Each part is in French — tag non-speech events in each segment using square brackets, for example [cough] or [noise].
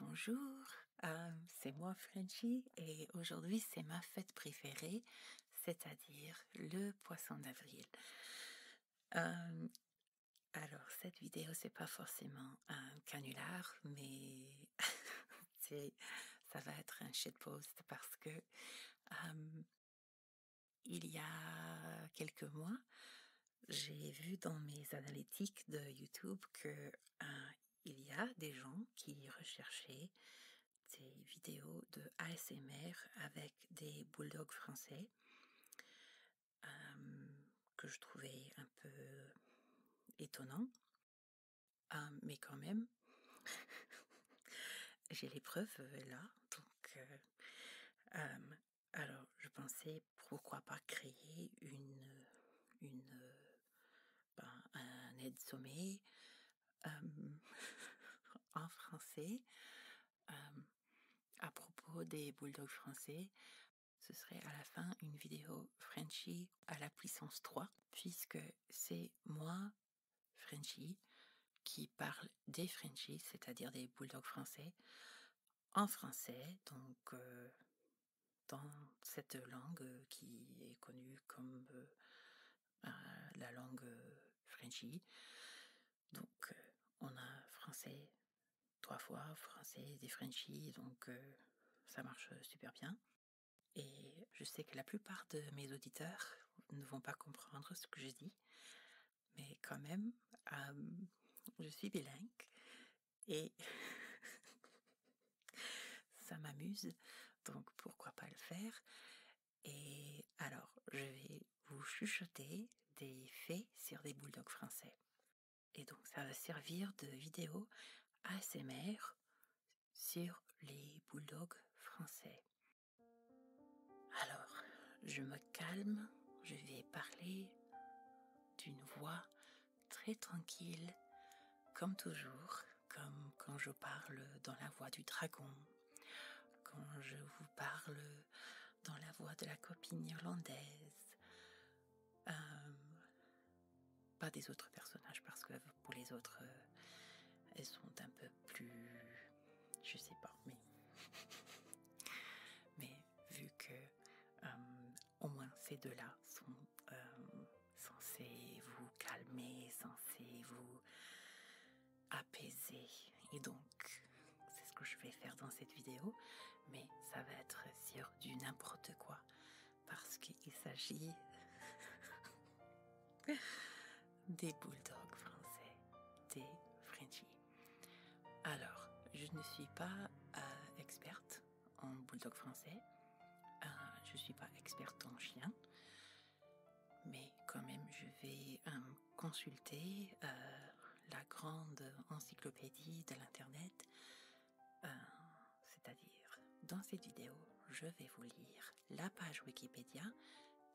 Bonjour, euh, c'est moi Frenchie et aujourd'hui c'est ma fête préférée, c'est-à-dire le poisson d'avril. Euh, alors cette vidéo c'est pas forcément un canular, mais [laughs] ça va être un post parce que euh, il y a quelques mois, j'ai vu dans mes analytiques de YouTube que hein, il y a des gens qui recherchaient des vidéos de ASMR avec des bulldogs français que je trouvais un peu étonnant, ah, mais quand même [laughs] j'ai les preuves euh, là, donc euh, alors je pensais pourquoi pas créer une euh, ben, un aide-sommet, euh, [laughs] en français, euh, à propos des bulldogs français, ce serait à la fin une vidéo Frenchy à la puissance 3, puisque c'est moi, Frenchy, qui parle des Frenchies, c'est-à-dire des bulldogs français, en français, donc dans cette langue euh, qui est connue comme euh, euh, la langue Frenchie. Donc, on a français trois fois, français des Frenchies, donc ça marche super bien. Et je sais que la plupart de mes auditeurs ne vont pas comprendre ce que je dis, mais quand même, je suis bilingue et [laughs] ça m'amuse, donc pourquoi pas le faire. Et alors, je vais vous chuchoter des faits sur des bulldogs français. Et donc, ça va servir de vidéo ASMR sur les bulldogs français. Alors, je me calme, je vais parler d'une voix très tranquille, comme toujours, comme quand je parle dans la voix du dragon, quand je vous parle dans la voix de la copine irlandaise. Euh, pas des autres personnages parce que pour les autres, euh, elles sont un peu plus... Je sais pas, mais... [laughs] vu que euh, au moins ces deux-là sont euh, censés vous calmer, censés vous apaiser. Et donc, c'est ce que je vais faire dans cette vidéo, mais ça va être sur du n'importe quoi, parce qu'il s'agit [laughs] des bulldogs français, des Frenchies. Alors, je ne suis pas euh, experte en bulldog français. Euh, je ne suis pas experte en chien, mais quand même, je vais euh, consulter euh, la grande encyclopédie de l'Internet. C'est-à-dire, dans cette vidéo, je vais vous lire la page Wikipédia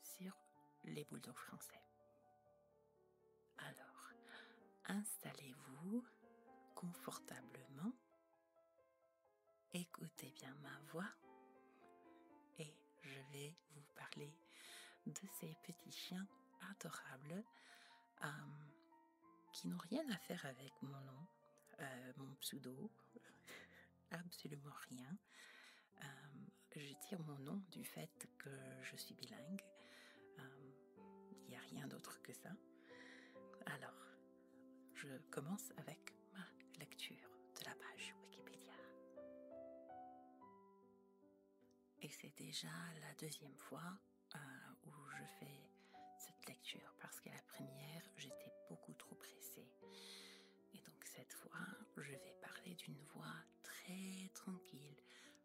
sur les bulldogs français. Alors, Installez-vous confortablement. Écoutez bien ma voix et je vais vous parler de ces petits chiens adorables euh, qui n'ont rien à faire avec mon nom, euh, mon pseudo, [laughs] absolument rien. Euh, je tire mon nom du fait que je suis bilingue. Il n'y a rien d'autre que ça. Alors, je commence avec ma lecture de la page Wikipédia. Et c'est déjà la deuxième fois euh, où je fais cette lecture parce qu'à la première, j'étais beaucoup trop pressée. Et donc cette fois, je vais parler d'une voix très tranquille.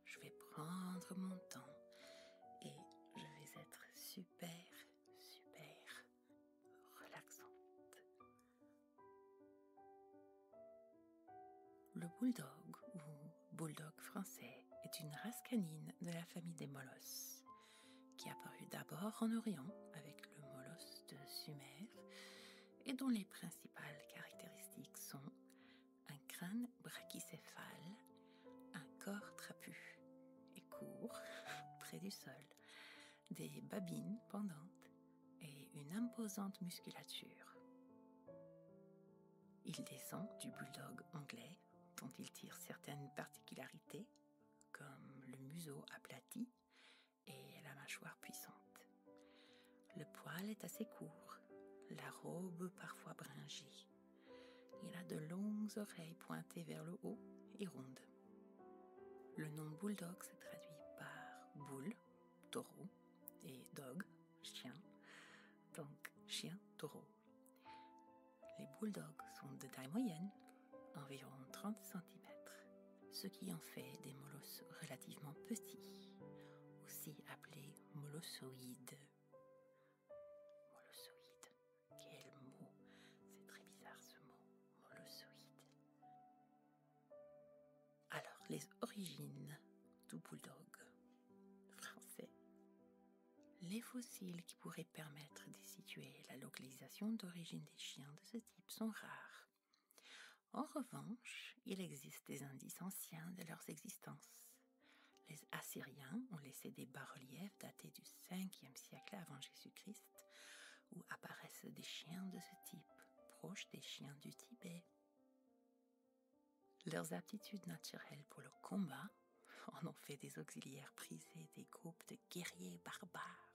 Je vais prendre mon temps et je vais être super, super relaxante. Le bulldog ou bulldog français est une race canine de la famille des molosses qui apparut d'abord en Orient avec le molosse de Sumer et dont les principales caractéristiques sont un crâne brachycéphale, un corps trapu et court [laughs] près du sol, des babines pendantes et une imposante musculature. Il descend du bulldog anglais dont il tire certaines particularités, comme le museau aplati et la mâchoire puissante. Le poil est assez court, la robe parfois bringée. Il a de longues oreilles pointées vers le haut et rondes. Le nom bulldog se traduit par boule, taureau, et dog, chien, donc chien taureau. Les bulldogs sont de taille moyenne, environ 30 cm, ce qui en fait des molosses relativement petits, aussi appelés molossoïdes. Quel mot C'est très bizarre ce mot, Alors, les origines du bulldog français. Les fossiles qui pourraient permettre de situer la localisation d'origine des chiens de ce type sont rares. En revanche, il existe des indices anciens de leurs existences. Les Assyriens ont laissé des bas-reliefs datés du 5e siècle avant Jésus-Christ où apparaissent des chiens de ce type, proches des chiens du Tibet. Leurs aptitudes naturelles pour le combat [laughs] en ont fait des auxiliaires prisés des groupes de guerriers barbares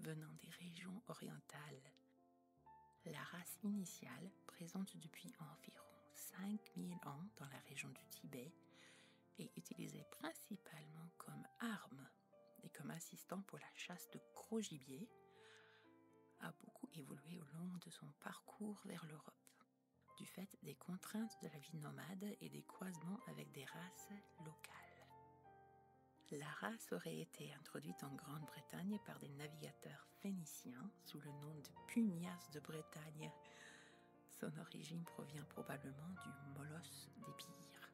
venant des régions orientales. La race initiale, présente depuis environ 5000 ans dans la région du Tibet, et utilisé principalement comme arme et comme assistant pour la chasse de gros gibier, a beaucoup évolué au long de son parcours vers l'Europe, du fait des contraintes de la vie nomade et des croisements avec des races locales. La race aurait été introduite en Grande-Bretagne par des navigateurs phéniciens sous le nom de pugnaces de Bretagne son origine provient probablement du molosse des pires.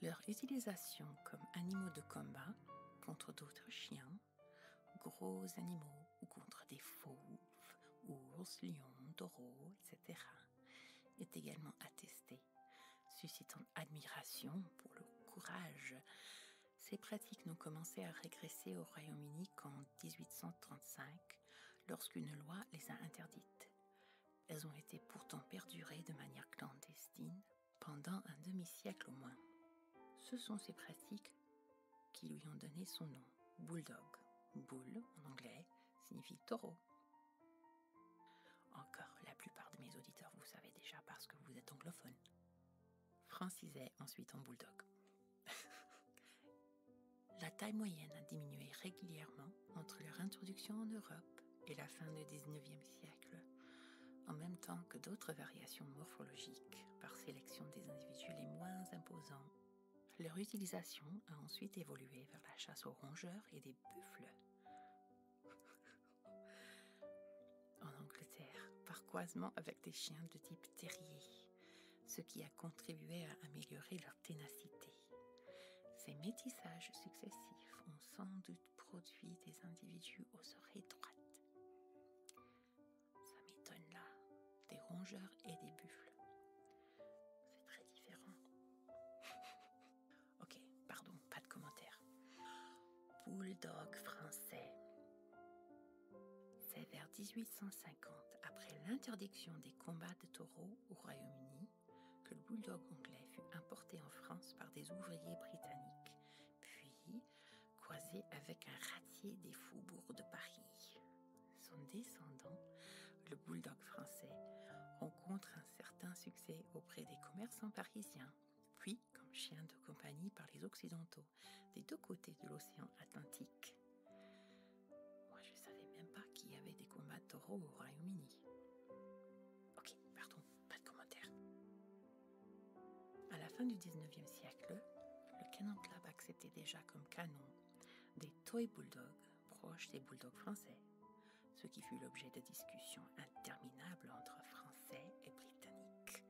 Leur utilisation comme animaux de combat contre d'autres chiens, gros animaux ou contre des fauves, ours, lions, taureaux, etc., est également attestée, suscitant admiration pour le courage. Ces pratiques n'ont commencé à régresser au Royaume-Uni qu'en 1835 lorsqu'une loi les a interdites. Elles ont été pourtant perdurées de manière clandestine pendant un demi-siècle au moins. Ce sont ces pratiques qui lui ont donné son nom, bulldog. Bull, en anglais, signifie taureau. Encore, la plupart de mes auditeurs vous savez déjà parce que vous êtes anglophone. Francisait ensuite en bulldog. [laughs] La taille moyenne a diminué régulièrement entre leur introduction en Europe et la fin du XIXe siècle, en même temps que d'autres variations morphologiques par sélection des individus les moins imposants. Leur utilisation a ensuite évolué vers la chasse aux rongeurs et des buffles. [laughs] en Angleterre, par croisement avec des chiens de type terrier ce qui a contribué à améliorer leur ténacité. Ces métissages successifs ont sans doute produit des individus aux oreilles droites. Ça m'étonne là, des rongeurs et des buffles. C'est très différent. [laughs] ok, pardon, pas de commentaire. Bulldog français. C'est vers 1850, après l'interdiction des combats de taureaux au Royaume-Uni, que le bulldog anglais fut importé en France par des ouvriers britanniques, puis croisé avec un ratier des faubourgs de Paris. Son descendant, le bulldog français, rencontre un certain succès auprès des commerçants parisiens, puis comme chien de compagnie par les Occidentaux des deux côtés de l'océan Atlantique. Moi, je savais même pas qu'il y avait des combats au Royaume-Uni. Ok, pardon, pas de commentaire. À la fin du 19e siècle, le Canon Club acceptait déjà comme canon des toy bulldogs proches des bulldogs français, ce qui fut l'objet de discussions interminables entre Français et Britanniques.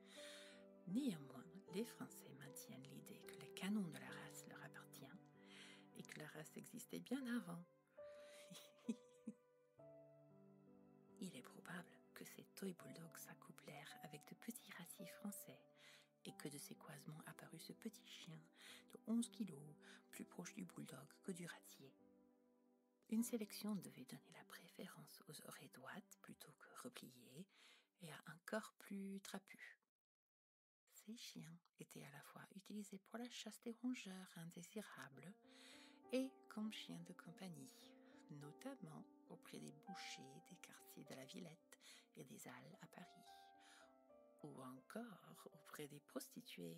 Néanmoins, les Français maintiennent l'idée que les canons de la race leur appartient et que la race existait bien avant. [laughs] Il est probable que ces toy bulldogs s'accouplèrent avec de petits ratiers français et que de ces croisements apparut ce petit chien de 11 kilos, plus proche du bulldog que du ratier. Une sélection devait donner la préférence aux oreilles droites plutôt que repliées et à un corps plus trapu. Ces chiens étaient à la fois utilisés pour la chasse des rongeurs indésirables et comme chiens de compagnie, notamment auprès des bouchers des quartiers de la Villette et des Halles à Paris, ou encore auprès des prostituées,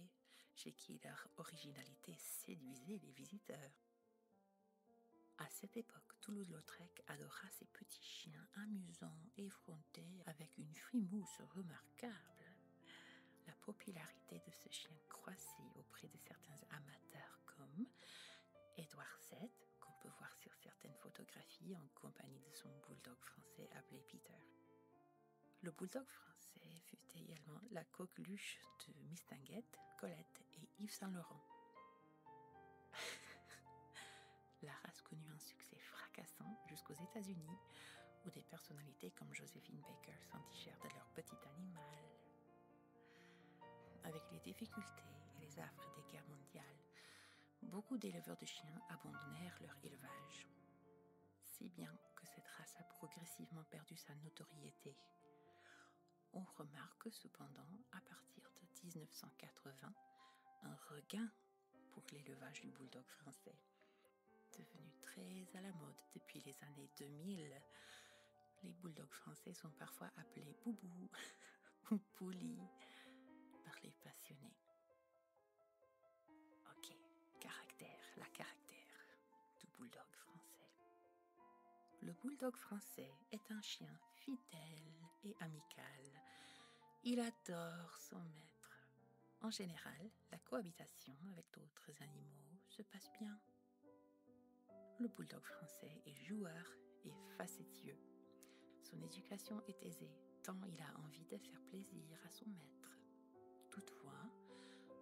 chez qui leur originalité séduisait les visiteurs. À cette époque, Toulouse-Lautrec adora ces petits chiens amusants et avec une frimousse remarquable la popularité de ce chien croissait auprès de certains amateurs comme Édouard VII, qu'on peut voir sur certaines photographies en compagnie de son bulldog français appelé Peter. Le bulldog français fut également la coqueluche de Mistinguette, Colette et Yves Saint Laurent. [laughs] La race connut un succès fracassant jusqu'aux États-Unis, où des personnalités comme Josephine Baker s'attachèrent de leur petit animal. Avec les difficultés et les affres des guerres mondiales, beaucoup d'éleveurs de chiens abandonnèrent leur élevage. Si bien que cette race a progressivement perdu sa notoriété. On remarque cependant, à partir de 1980, un regain pour l'élevage du bulldog français. Devenu très à la mode depuis les années 2000, les bulldogs français sont parfois appelés boubou [laughs] ou pouli par les passionnés. Ok, caractère, la caractère du bulldog français. Le bulldog français est un chien fidèle et amical. Il adore son maître. En général, la cohabitation avec d'autres animaux se passe bien. Le bulldog français est joueur et facétieux. Son éducation est aisée, tant il a envie de faire plaisir à son maître. Toutefois,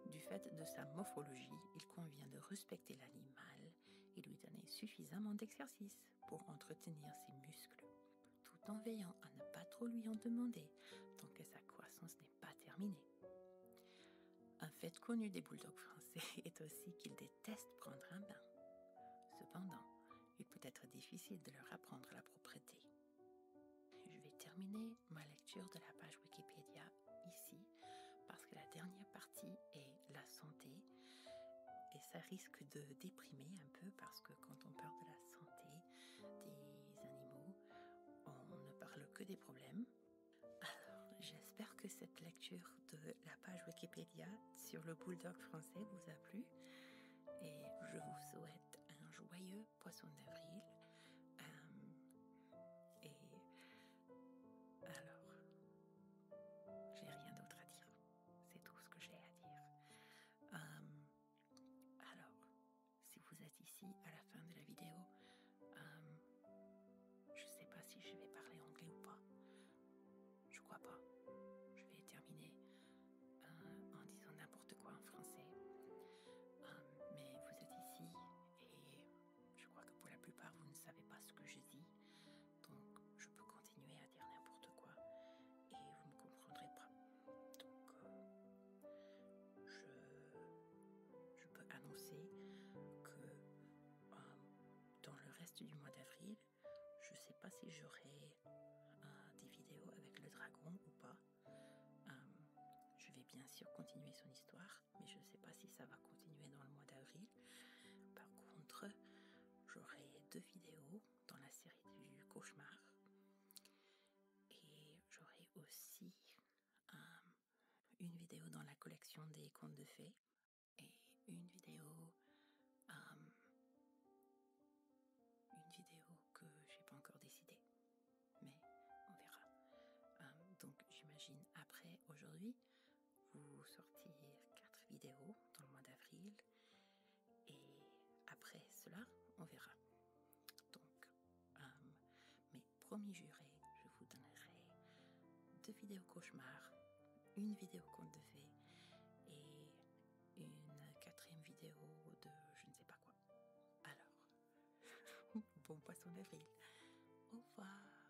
du fait de sa morphologie, il convient de respecter l'animal et lui donner suffisamment d'exercice pour entretenir ses muscles, tout en veillant à ne pas trop lui en demander tant que sa croissance n'est pas terminée. Un fait connu des bulldogs français [laughs] est aussi qu'ils détestent prendre un bain. Cependant, il peut être difficile de leur apprendre la propreté. Je vais terminer ma lecture de la page Wikipédia ici parce que la dernière partie est la santé et ça risque de déprimer un peu parce que quand on parle de la santé des animaux, on ne parle que des problèmes. Alors, j'espère que cette lecture de la page Wikipédia sur le bulldog français vous a plu. Et je vous souhaite un joyeux poisson d'avril. Euh, et alors, j'ai rien d'autre à dire. C'est tout ce que j'ai à dire. Euh, alors, si vous êtes ici à la fin de la vidéo, euh, je ne sais pas si je vais parler anglais ou pas. Je crois pas. Je vais terminer euh, en disant n'importe quoi en français. mais vous êtes ici et je crois que pour la plupart, vous ne savez pas ce que je dis. Donc, je peux continuer à dire n'importe quoi et vous ne me comprendrez pas. Donc, euh, je, peux annoncer que euh, dans le reste du mois d'avril, je ne sais pas si j'aurai des vidéos avec le dragon ou pas. Euh, je vais bien sûr continuer son histoire, mais je ne sais pas si ça va continuer dans le mois d'avril. Par contre, j'aurai deux vidéos dans la série du cauchemar. Et j'aurai aussi une vidéo dans la collection des contes de fées et une vidéo um, une vidéo que j'ai pas encore décidée, mais on verra. Um, donc j'imagine après aujourd'hui vous sortir quatre vidéos dans le mois d'avril et après cela, on verra. Donc, euh, mes premiers jurés, je vous donnerai deux vidéos cauchemars, une vidéo conte de fées et une quatrième vidéo de je ne sais pas quoi. Alors, [laughs] bon poisson d'avril. Au revoir.